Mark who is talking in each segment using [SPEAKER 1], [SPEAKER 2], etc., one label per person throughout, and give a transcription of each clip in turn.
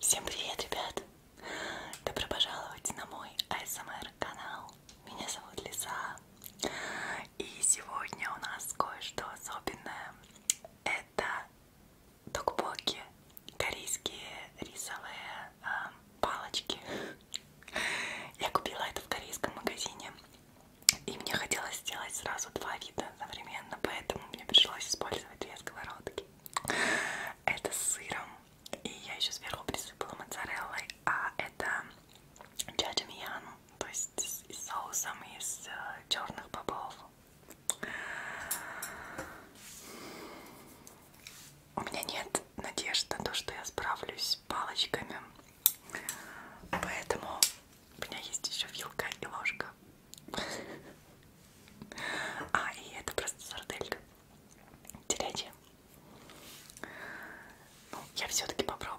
[SPEAKER 1] Всем привет, ребят! Добро пожаловать на мой ASMR канал. Меня зовут Лиза. И сегодня у нас кое-что особенное. Это токбоки, корейские рисовые э, палочки. Я купила это в корейском магазине, и мне хотелось сделать сразу два вида одновременно, поэтому мне пришлось использовать две сковородки. Это с сыром, и я еще сверху присыпала моцареллой, а это джаджамиян, то есть с соусом из э, черных бобов. У меня нет надежды на то, что я справлюсь палочками. Поэтому у меня есть еще вилка и ложка. А, и это просто сарделька. Телячья. Ну, я все-таки попробую.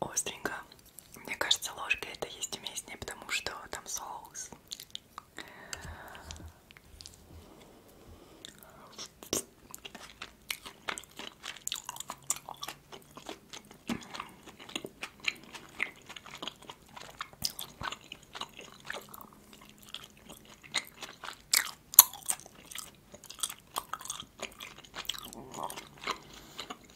[SPEAKER 1] остренько. Мне кажется, ложка это есть уместнее, потому что там соус.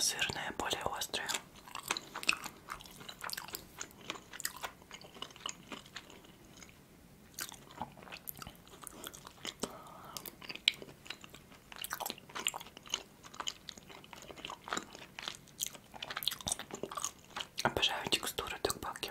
[SPEAKER 1] Сырная более острая. Обожаю текстуру тукбаки.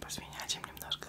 [SPEAKER 1] Посвинячим немножко.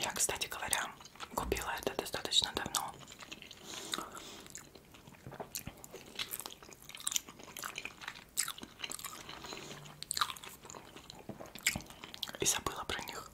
[SPEAKER 1] Я, кстати говоря, купила это достаточно давно. И забыла про них.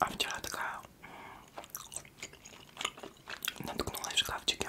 [SPEAKER 1] А вчера такая наткнулась в шкафчике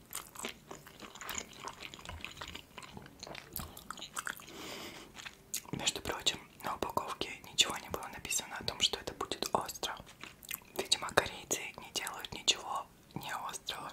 [SPEAKER 1] Между прочим, на упаковке ничего не было написано о том, что это будет остро. Видимо, корейцы не делают ничего не острого.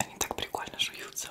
[SPEAKER 1] Они так прикольно жуются.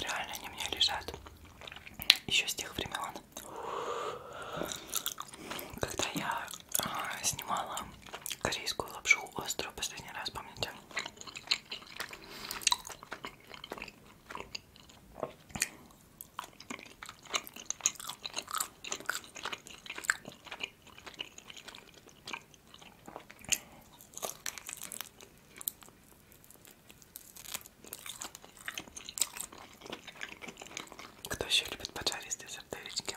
[SPEAKER 1] Реально они мне лежат еще с тех времен, когда я а, снимала корейскую лапшу острую последний раз, помните? Кто еще любит поджаристые сардельки?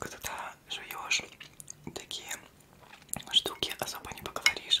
[SPEAKER 1] Когда жуешь такие штуки, особо не поговоришь.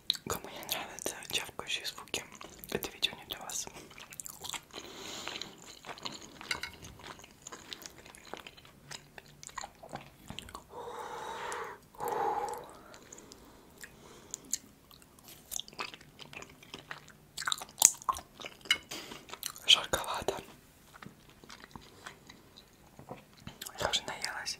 [SPEAKER 1] Кому не нравятся чавкающие звуки, это видео не для вас. Жарковато. Я уже наелась.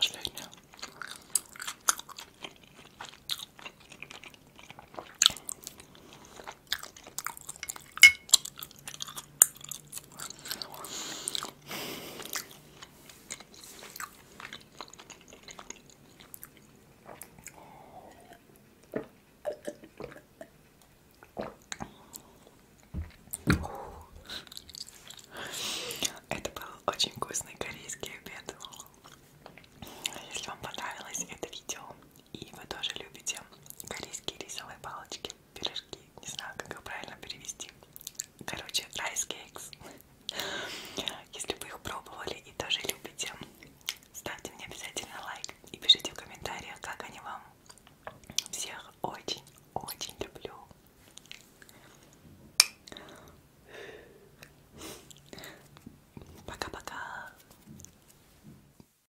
[SPEAKER 1] Последняя. Это был очень вкусный корейский обед. А если вам понравилось это видео, и вы тоже любите корейские рисовые палочки, пирожки, не знаю, как их правильно перевести. Короче, rice cakes. Если вы их пробовали и тоже любите, ставьте мне обязательно лайк и пишите в комментариях, как они вам. Всех очень-очень люблю. Пока-пока.